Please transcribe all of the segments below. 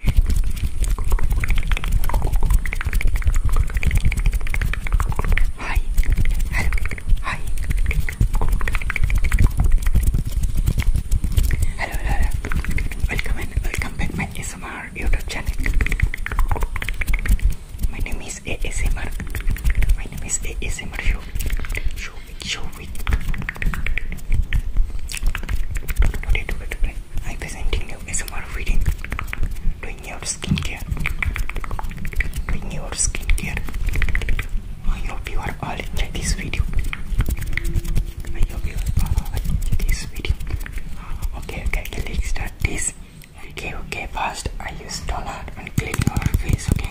Hi. Hello. Hi. Hello, hello. Welcome and welcome back my ASMR YouTube channel. My name is ASMR. My name is ASMR Show. Show it, show it. Today, today, today. I'm presenting you ASMR reading doing your skincare doing your skincare I hope you are all enjoy this video I hope you are all enjoy this video ah, okay, okay let's start this okay okay first I use toner and clean your face okay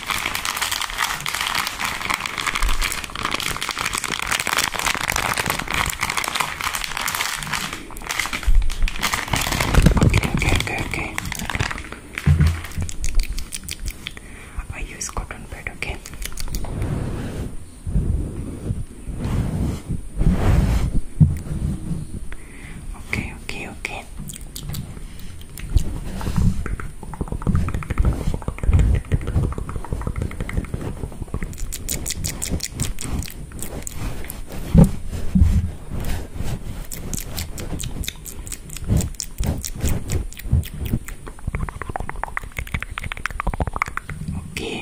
Okay, okay, okay, okay. I use cotton pad, okay. Okay, okay, okay. Okay, okay, okay,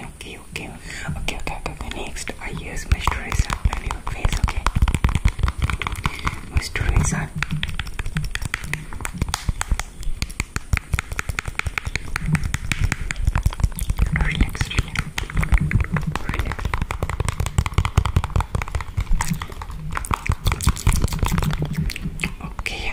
okay, okay, okay, okay. Next, first I use moisturizer on your face, okay? Moisturizer. Relax, relax, relax. Okay.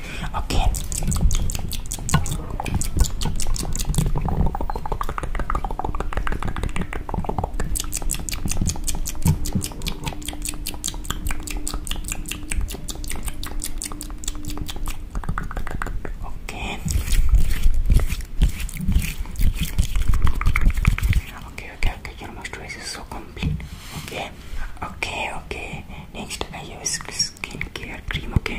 Okay. Okay. Okay, okay, okay, your moisturizer is so complete. Okay, okay, okay. Next, I uh, use Skin care, okay? Skincare cream. Okay.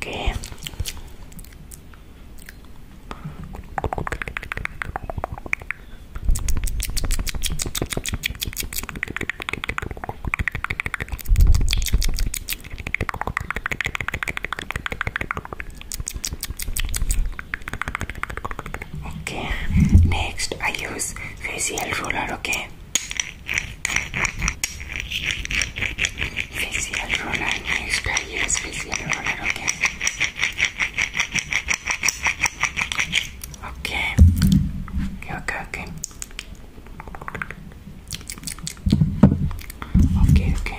Okay. Okay, next I use facial roller. Okay, facial roller, extra years facial roller, okay? Okay, okay, okay. Okay, okay.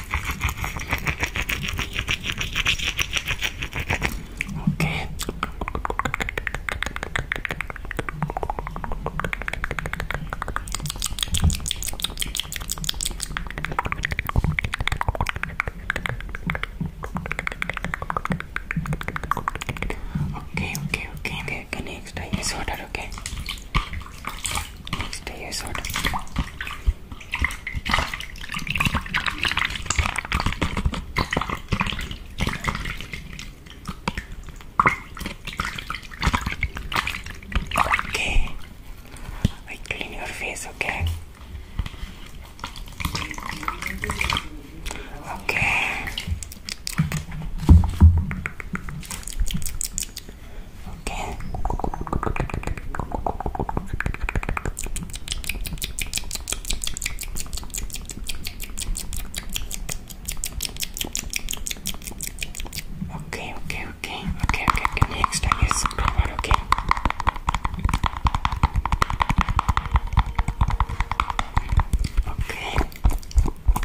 Okay. Okay, okay, okay. The next time is order, okay. Stay sort of. Okay. I clean your face, okay? Okay. Okay. Okay, okay, okay, okay, okay, okay, next I use some power, okay? Okay.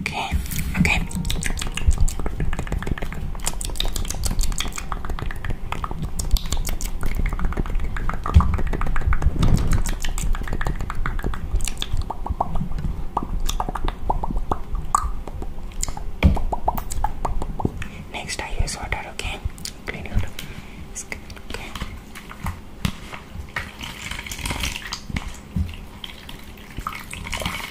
Okay, okay. Next, I use water, okay? Clean your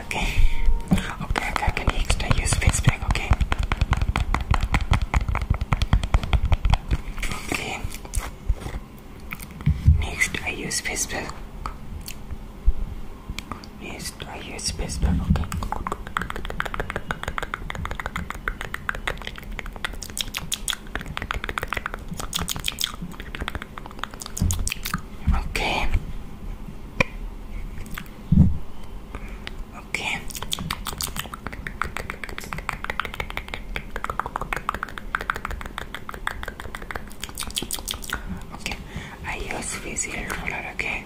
okay, okay. Okay, okay, I can extra use face pack, okay? Okay. Next I use face pack. Next I use face pack, okay? Okay. Okay. Okay. I use physical roller, okay?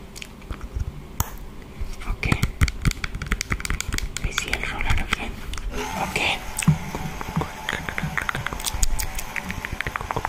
Okay. Physical roller, okay? Okay.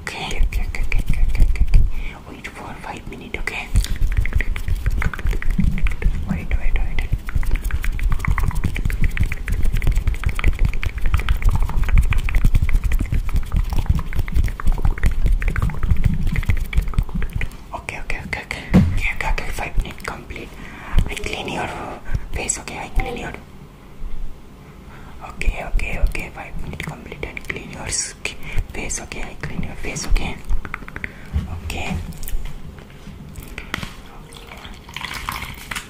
Okay, okay, okay, okay, okay, okay. Wait for five minutes, okay? Wait, wait, wait. Okay, okay, okay, okay. Okay, okay, okay. Five minutes complete. I clean your face. Okay, I clean your. Okay, okay, okay. Five minutes complete and clean your face. Okay, I clean your face. Okay. Okay.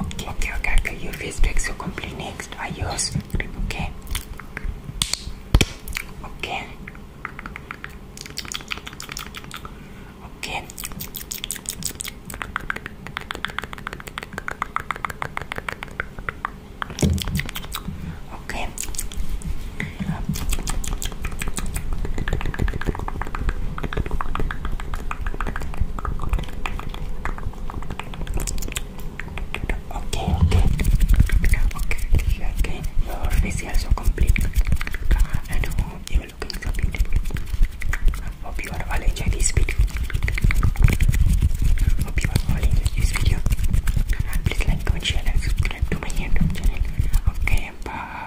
Okay, okay, okay, okay. Your face breaks so complete next. I use cream, okay? Okay. Okay. Okay. Okay, okay, okay, okay. Your facial so complete, and you are so beautiful. Hope you are all this video. Hope you are all this video. Please like, comment, share, and subscribe to my channel. Okay, bye.